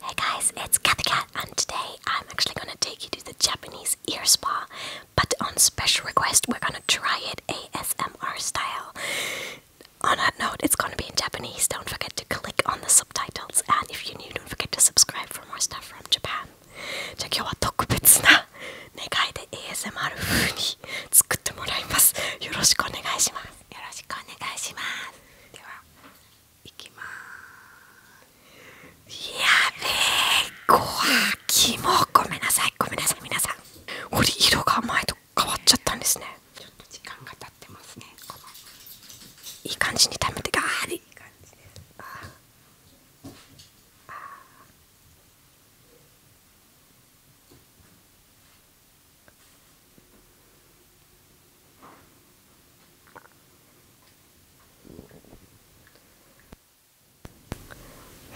Hey guys, it's Cat Cat, and today I'm actually gonna take you to the Japanese ear spa, but on special request, we're gonna try it ASMR style. On that note, it's gonna be in Japanese. Don't forget to click on the subtitles, and if you're new, don't forget to subscribe for more stuff from Japan. じゃあ今日は特別な願いで ASMR 風に作ってもらいます。よろしくお願いします。よろしくお願いします。ではいきますやべえこわきもごめんなさいごめんなさい皆さんこ色が前と変わっちゃったんですねちょっと時間が経ってますねこのいい感じに溜めてがーい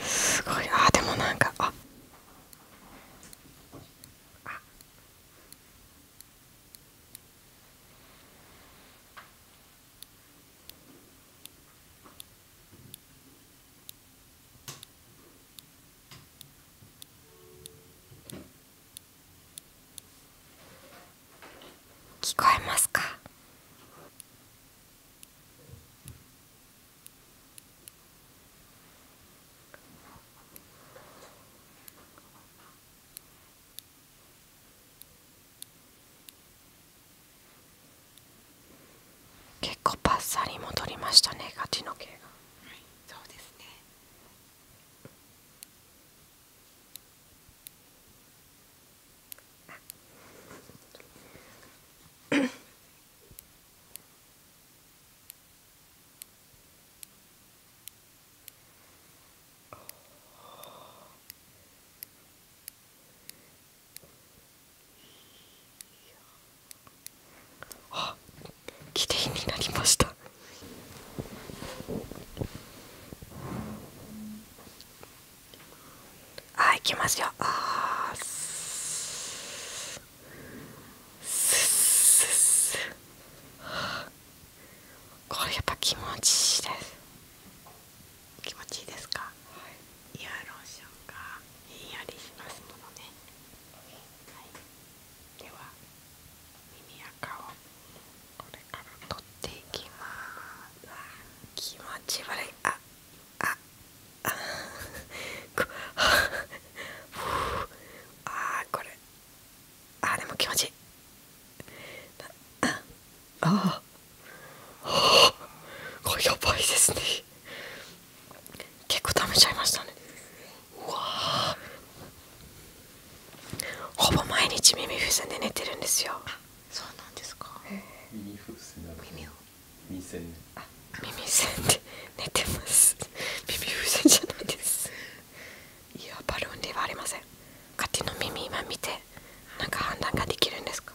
すごいあーでもなんかああ聞こえますか結構パッサリ戻りましたねガチの毛がはいそうですね あ綺麗になりましたあいきますよあーすこれやっぱ気持ちいいです気持ちいいですか、イヤローションがひんやりしますものね、はい、では耳垢をこれから取っていきます気持ち悪いあああああこれああでも気持ちいいああああこれやばいですね結構食べちゃいましたねうわほぼ毎日耳風船で寝てるんですよそうなんですか耳風船耳耳栓で寝てます耳風船じゃないですいやバルーンではありません勝手の耳今見てなんか判断ができるんですか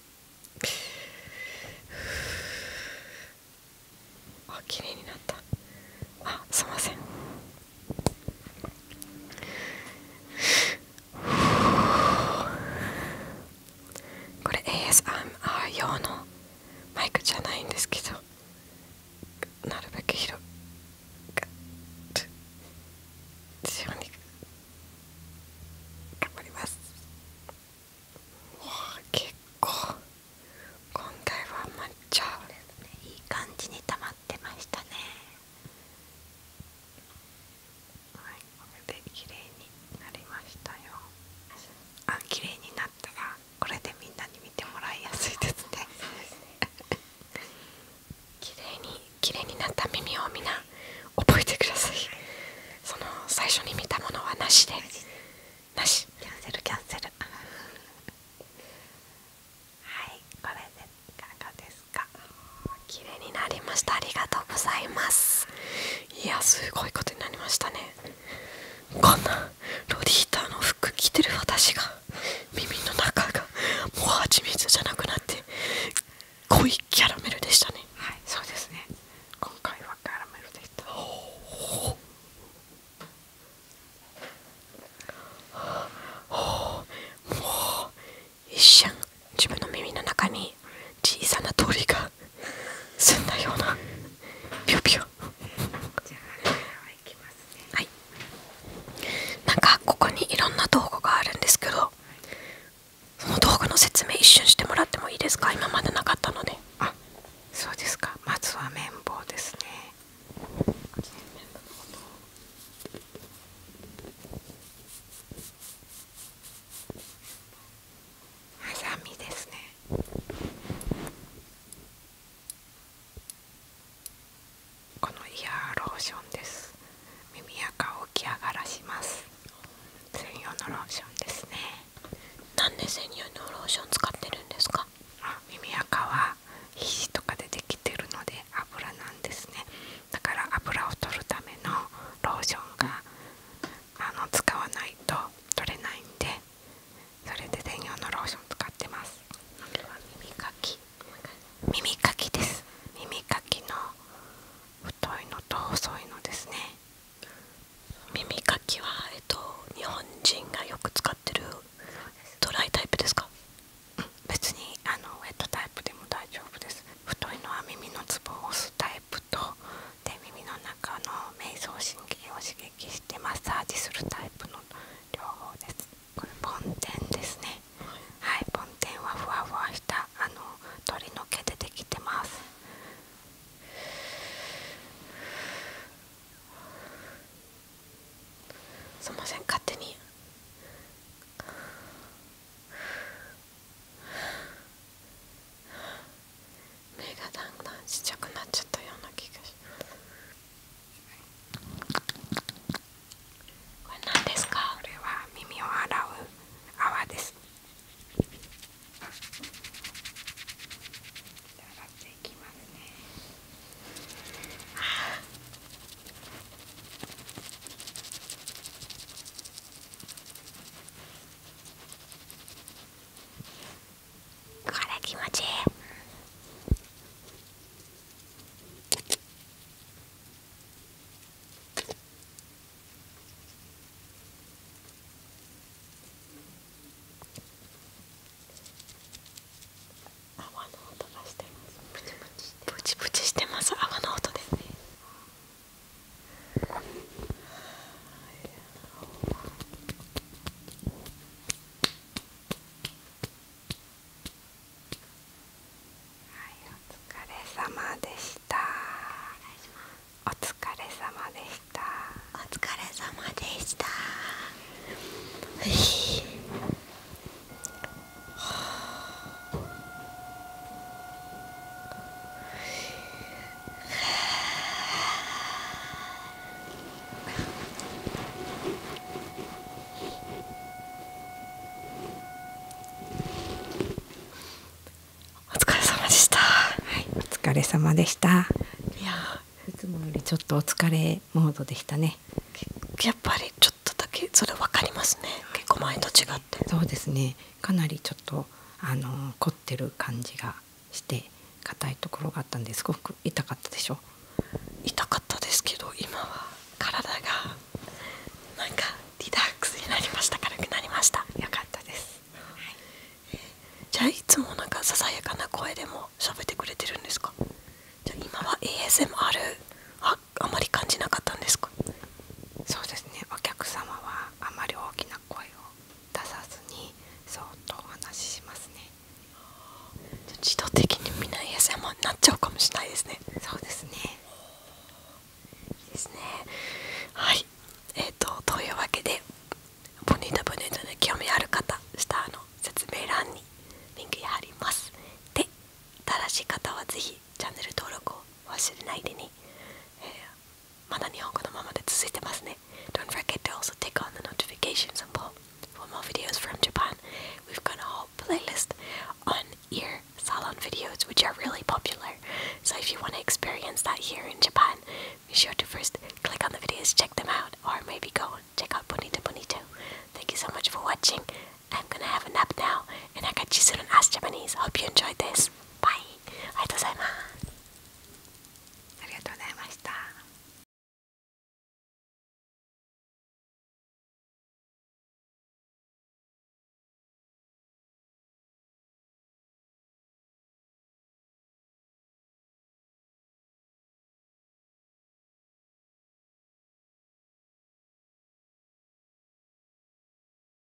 あ綺麗になったあすいませんこれ ASMR 用のマイクじゃないんですけどなるべく広がるように頑張ります結構今回は抹茶いい感じにたまってましたねはいこれで綺麗になりましたよあ綺麗になったらこれでみんなに見てもらいやすいですね綺麗に綺麗になった耳をみんな覚えてくださいその最初に見たものはなしでなしキャンセルキャンセルはいこれでいかがですか綺麗になりましたありがとうございますいやすごいことになりましたねこんなロリータの服着てる私が耳の中がもう蜂蜜じゃなくなって濃いキャラメルでしたねはいそうですね今回はキャラメルで一瞬自分の耳の中に小さな通が澄んだようなピュピュなんかここにいろんな道具があるんですけどその道具の説明一瞬してもらってもいいですか今までなかったのであそうですかまずは綿棒ですねハサミですねこのイヤーローションです耳垢をき上がらします専用のローションですねなんで専用のローション使ってるんですか耳垢は皮とかでできてるので油なんですねだから油を取るためのローションがあの使わないと取れないんでそれで専用のローション使ってます耳かき耳かきです耳かきの太いのと細いのですね耳かきはえっと日本人がよく使ってるドライタイプですか、別にあのウェットタイプでも大丈夫です太いのは耳のツボを押すタイプとで耳の中の迷走神経を刺激してマッサージするタイプの両方ですこれポンテンですねはい、ポンテンはふわふわしたあの鳥の毛でできてますすいません勝手に目がだんだんちっちゃくなっちゃったような気がしますこれ何ですかこれは耳を洗う泡です洗っていきますねああ これ気持ちいい泡の音がしてますプチプチしてプチプチしてます泡の音ですねはい、お疲れ様でしたお疲れ様でしたお疲れ様でしたふひはあお疲れ様でしたはいお疲れ様でしたいやいつもよりちょっとお疲れモードでしたねやっぱりちょっとだけそれ分かりますね結構前と違ってそうですねかなりちょっとあの凝ってる感じがして硬いところがあったんですごく痛かったでしょ痛かったですけど今は体がなんかリラックスになりました軽くなりましたよかったです、じゃあいつもなんかささやかな声でも喋ってくれてるんですかじゃ今は ASMR ああまり感じなかったんですかそうですねお客様はあまり大きな声を出さずにそっお話ししますね自動的にみんな ASMR になっちゃうかもしれないですねそうですねですねはいえーとというわけでポニータ・ポニータに興味ある方下の説明欄にリンク貼りますで新しい方はぜひチャンネル登録を忘れないでね、do not forget to also tick on the notifications symbol for more videos from Japan. We've got a whole playlist on ear salon videos, which are really popular. So if you want to experience that here in Japan, be sure to first click on the videos, check them out, or maybe go and check out Bonito Bonito. Thank you so much for watching. I'm gonna have a nap now, and I got you soon on Ask Japanese. Hope you enjoyed this. Bye. ありがとうございますありがとうございました